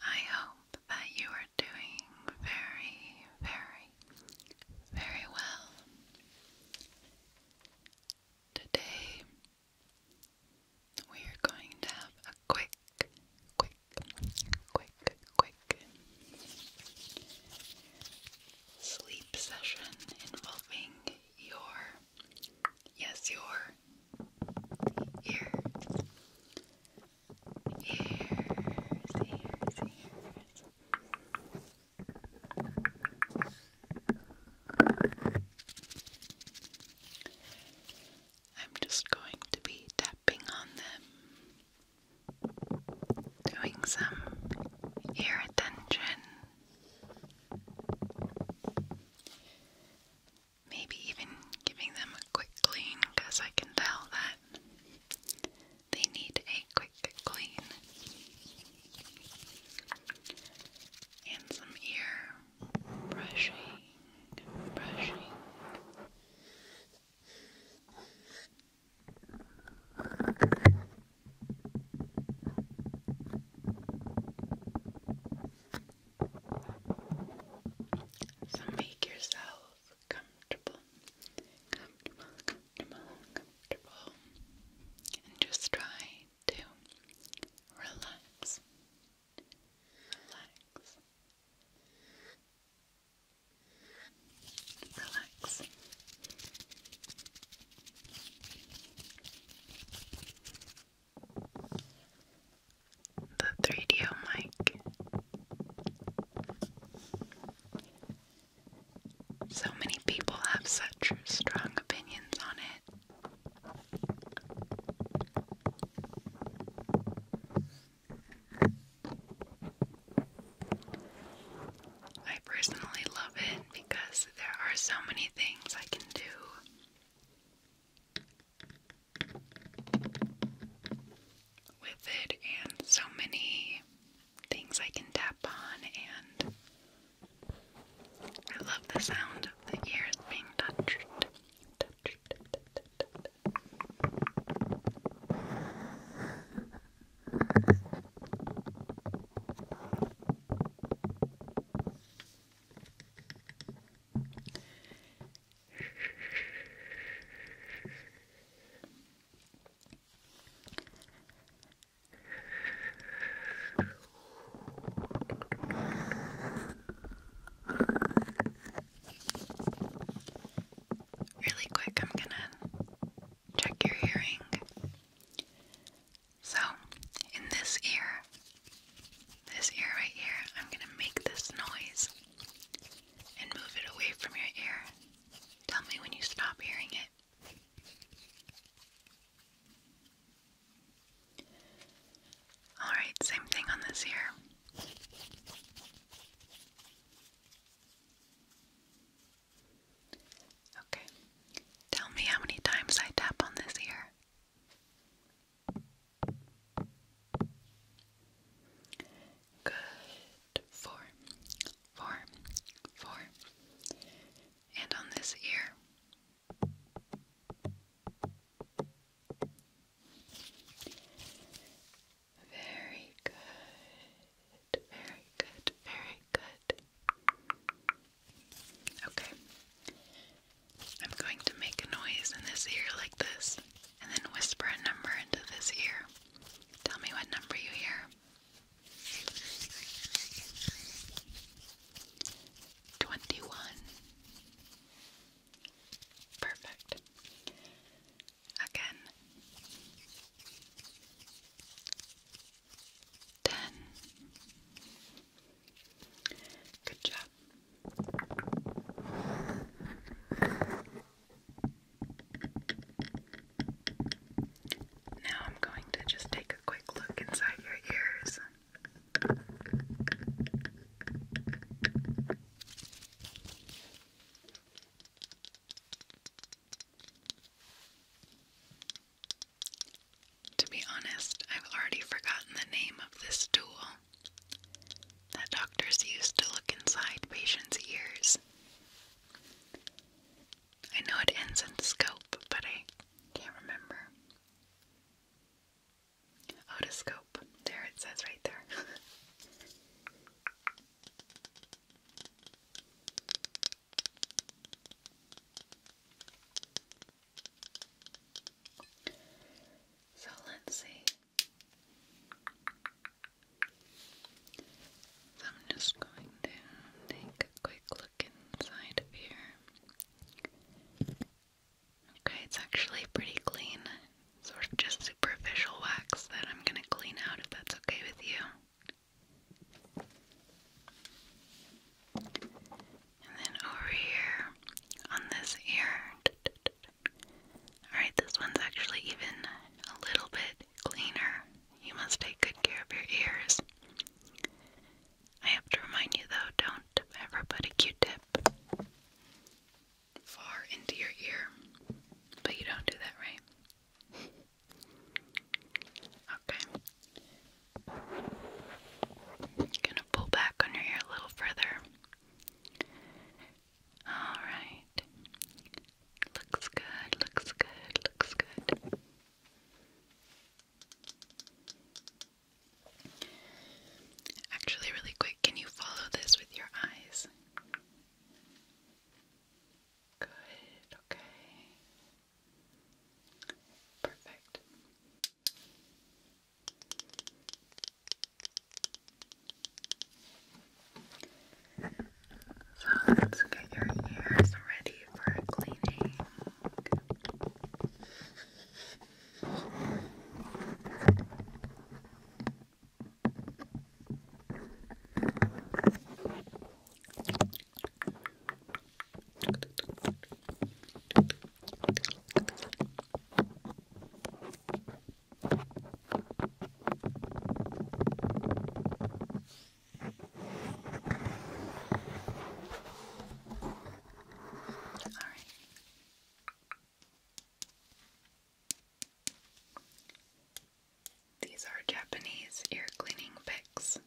I hope that you are doing very, very, very well. Today, we are going to have a quick, quick, quick, quick sleep session involving your, yes, your ears. I'm just going to be tapping on them, doing some ear attention. Maybe even giving them a quick clean because I can tell that they need a quick clean. And some ear brushing, brushing. So make yourself comfortable, comfortable, comfortable, comfortable, and just try to relax, relax, relax the 3DO mic. So many people have such strong opinions on it. I personally love it because there are so many things I can do with it, and so many things I can tap on, and I love the sound of the ears being touched. Really quick, I'm gonna check your hearing. So, in this ear, this ear right here, I'm going to make this noise and move it away from your ear. Tell me when you stop hearing it. Alright, same thing on this ear. Okay, tell me how many times I tap on this ear. Good. Four, four, four. And on this ear. Very good. Very good. Very good. Okay. I'm going to make a noise in this ear like this, and then whisper a number into this ear. Tell me what number you hear. 21. Perfect. Again. 10. Good job. Now I'm going to just take a quick look inside your ears. To be honest, I've already forgotten the name of this tool that doctors used to look inside patients' ears. I know it ends in scope, but I can't remember. Otoscope. There it says right there. so let's see. So I'm just going to take a quick look inside of here. Okay, it's actually pretty clean. Sort of just superficial wax that I'm gonna clean out if that's okay with you. And then over here on this ear, Alright, this one's actually even a little bit cleaner. You must take good care of your ears. I have to remind you though, don't ever put a Q-tip far into your ear. But you don't do that, right? Okay. gonna pull back on your ear a little further Alright. Looks good, looks good, looks good. Actually, really quick, can you follow this with your eyes? Good, okay. Perfect. So let's get your ears ready for cleaning. These are Japanese ear cleaning picks.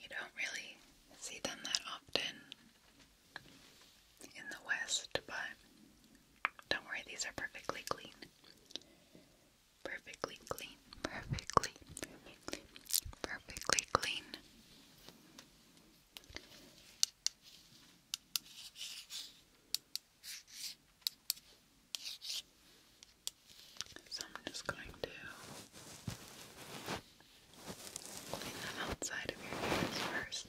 You don't really see them that often in the West, but don't worry, these are perfectly clean. Perfectly clean, perfectly, perfectly, clean. So I'm just going to clean them outside of your ears first.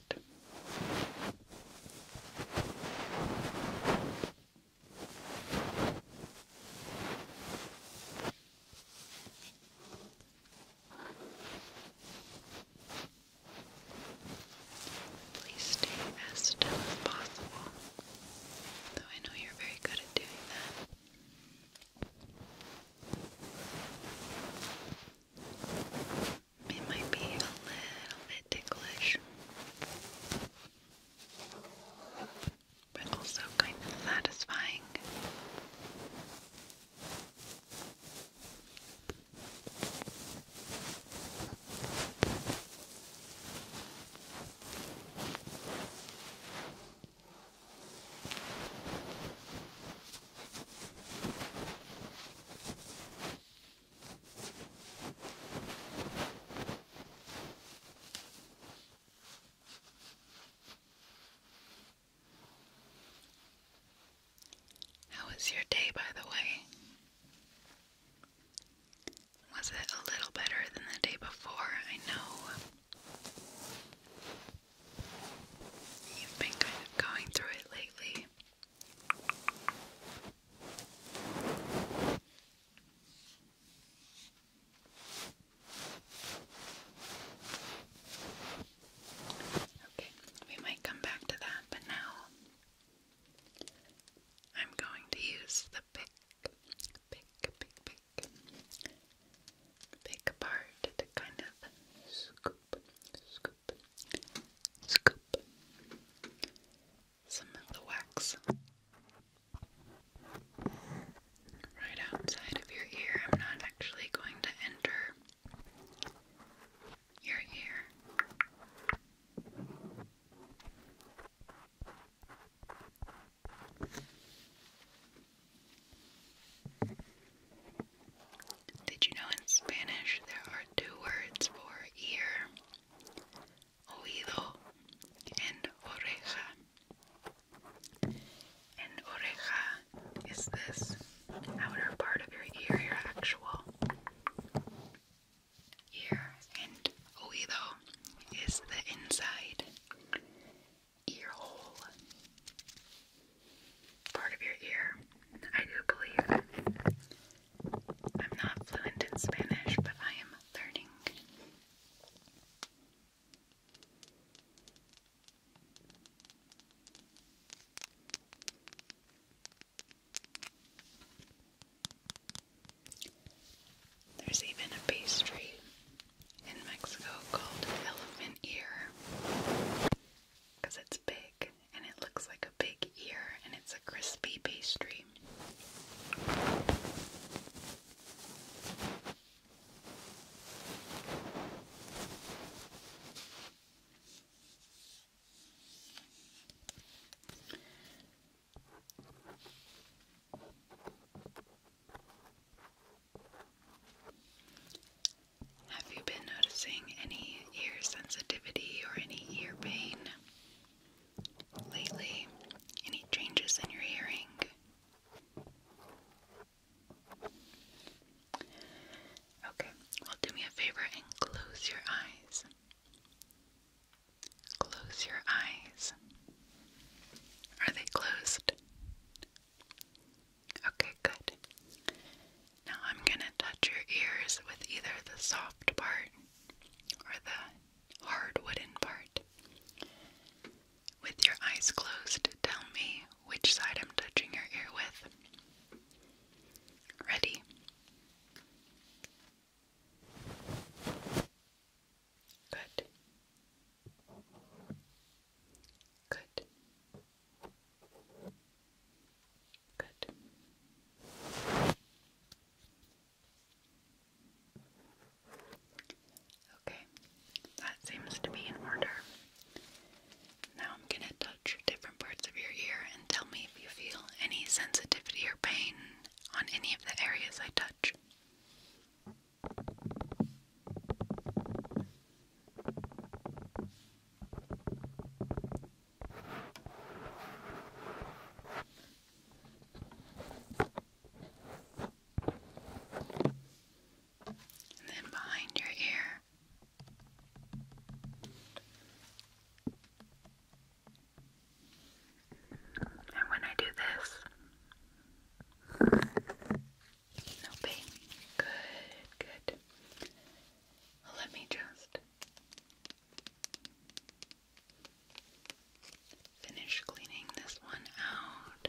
Please stay as still as possible, though I know you're very good at doing that. It might be a little bit ticklish, but also kind of satisfying. How was your day, by the way? Was it a little better than the day before? I know You've been kind of going through it lately. Okay, we might come back to that, but now I'm going to use the pick, pick, pick, pick, big part to kind of scoop, scoop, scoop some of the wax right outside of your ear. I'm not actually going to enter your ear. Did you know in Spanish there are two words for ear? Oído and oreja. And oreja is this outer part of your ear, your actual ear. And oído is the inside ear hole, part of your ear. I do believe. I'm not fluent in Spanish, but I am learning. There's even a pastry in Mexico called elephant ear because it's big and it looks like a big ear and it's a crispy pastry. Have you been noticing any ear sensitivity or any ear pain lately? Any changes in your hearing? Okay, well, do me a favor and close your eyes. Close your eyes. Are they closed? Okay, good. Now I'm going to touch your ears with either the soft part or the hard wooden part. With your eyes closed, tell me which side I'm touching your ear with. Ready? Good. Good. Good. Okay, that seems to be in order. Now I'm going to touch different parts of your ear and tell me if you feel any sensitivity or pain on any of the areas I touch. And then behind your ear. And when I do this, no pain. Good, good. let me just finish cleaning this one out.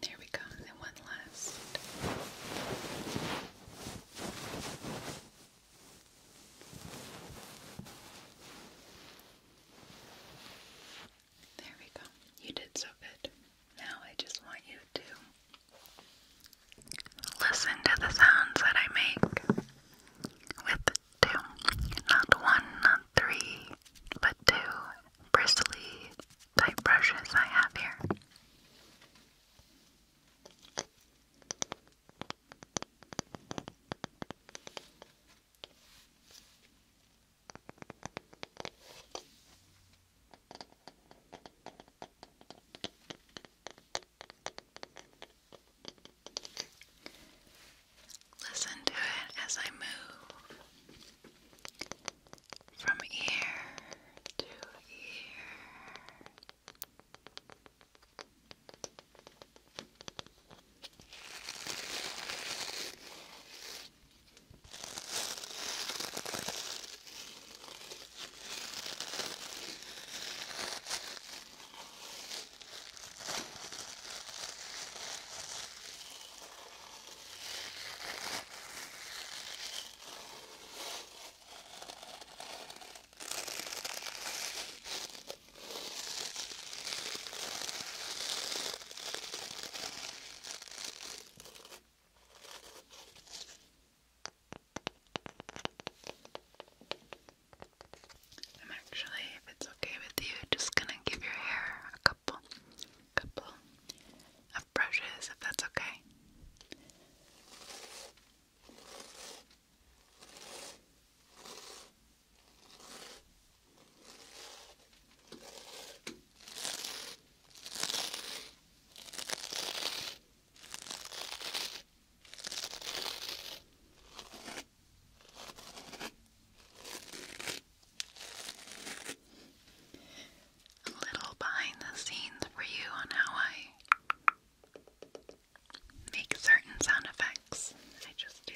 There we go, one last. There we go. You did so good. Now I just want you to listen to the sounds that I make with two. Not one, not three, but two bristly type brushes I have here. Listen to it as I move from ear to ear. I'm actually, if it's okay with you, just gonna give your hair a couple couple of brushes if that's okay a little behind the scenes for you on how I make certain sound effects. I just do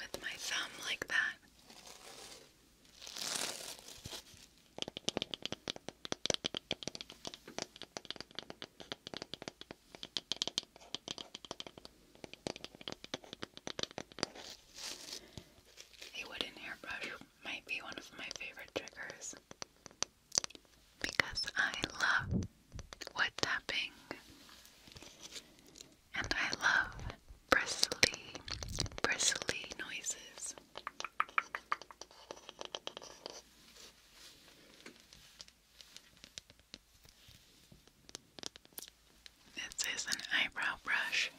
with my thumb like that. A wooden hairbrush might be one of my favorite triggers because I love wood tapping and I love bristly, bristly noises. This is an eyebrow brush.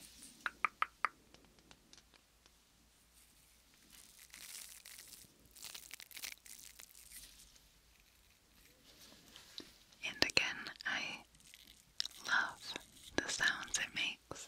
And again, I love the sounds it makes.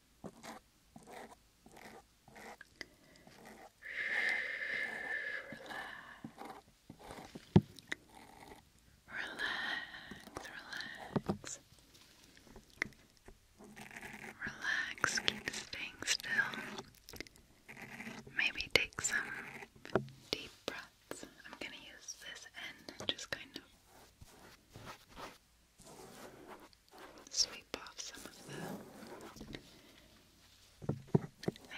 relax, relax, keep staying still. Maybe take some deep breaths. I'm gonna use this end just kind of sweep off some of the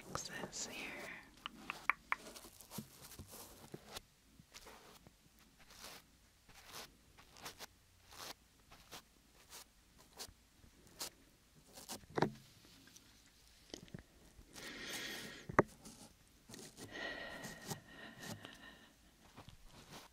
excess here.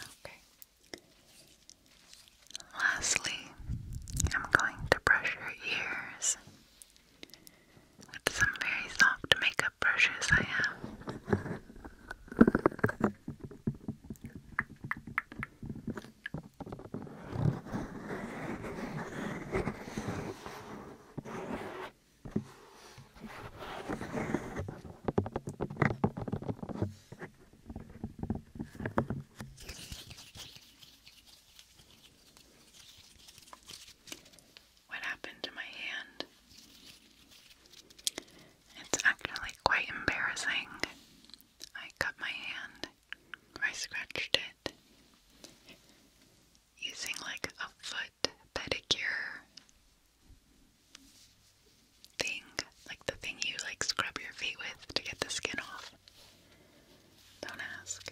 Okay. Lastly, I'm going to brush your ears with some very soft makeup brushes I have. What happened to my hand? It's actually quite embarrassing. I cut my hand, I scratched it using like a foot pedicure thing, like the thing you like scrub your feet with to get the skin off. Don't ask.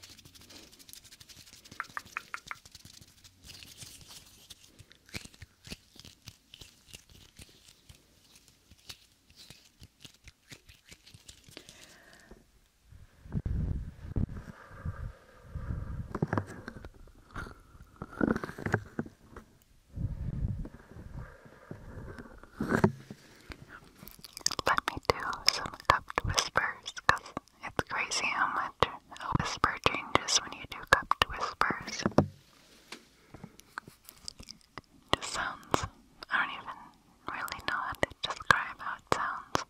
Let me do some cupped whispers it's crazy how much a whisper changes when you do cupped whispers. It just sounds, I don't even really know how to describe how it sounds.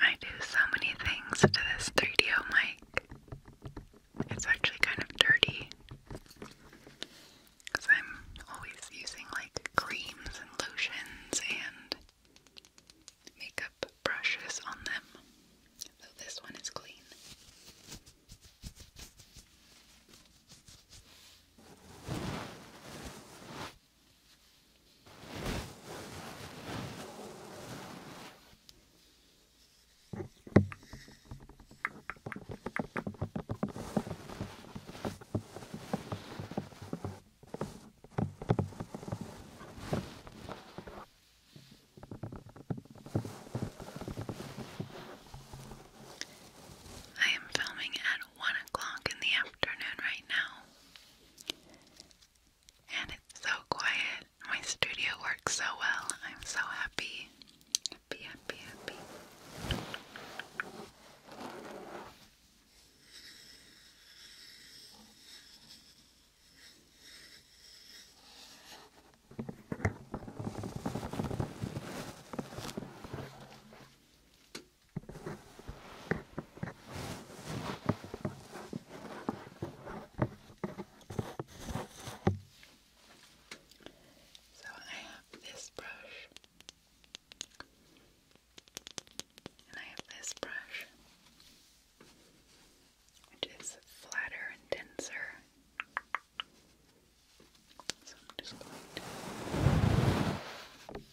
I do so many things to this 3DO mic. It's actually kind of dirty. Because I'm always using like creams and lotions and makeup brushes on them. Though this one is clean. I am filming at 1 o'clock in the afternoon right now. And it's so quiet. My studio works so well. I'm so happy. Happy, happy, happy. So I have this brush, and I have this brush, which is flatter and denser. So I'm just going to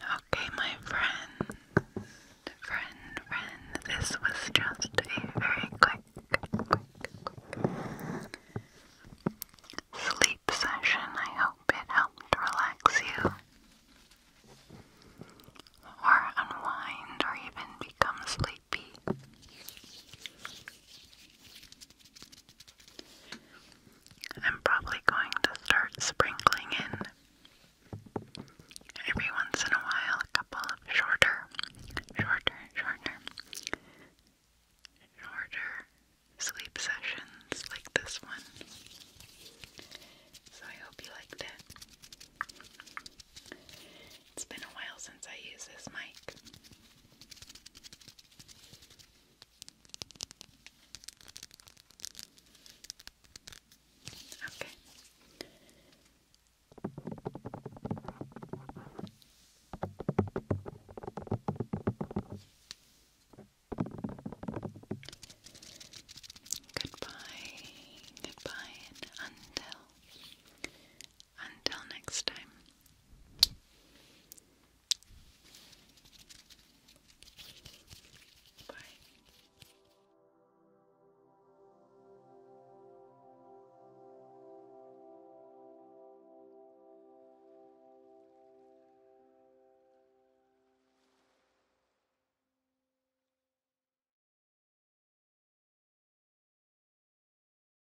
Okay, my friend, friend, friend, this was just a very quick, quick, quick sleep session. I hope it helped relax you or unwind or even become sleepy. I'm probably going to start sprinkling in every once in a while a couple of shorter, shorter, shorter, shorter sleep sessions like this one. So I hope you liked it. It's been a while since I used this mic. Okay. Goodbye, goodbye, until until next time. Bye.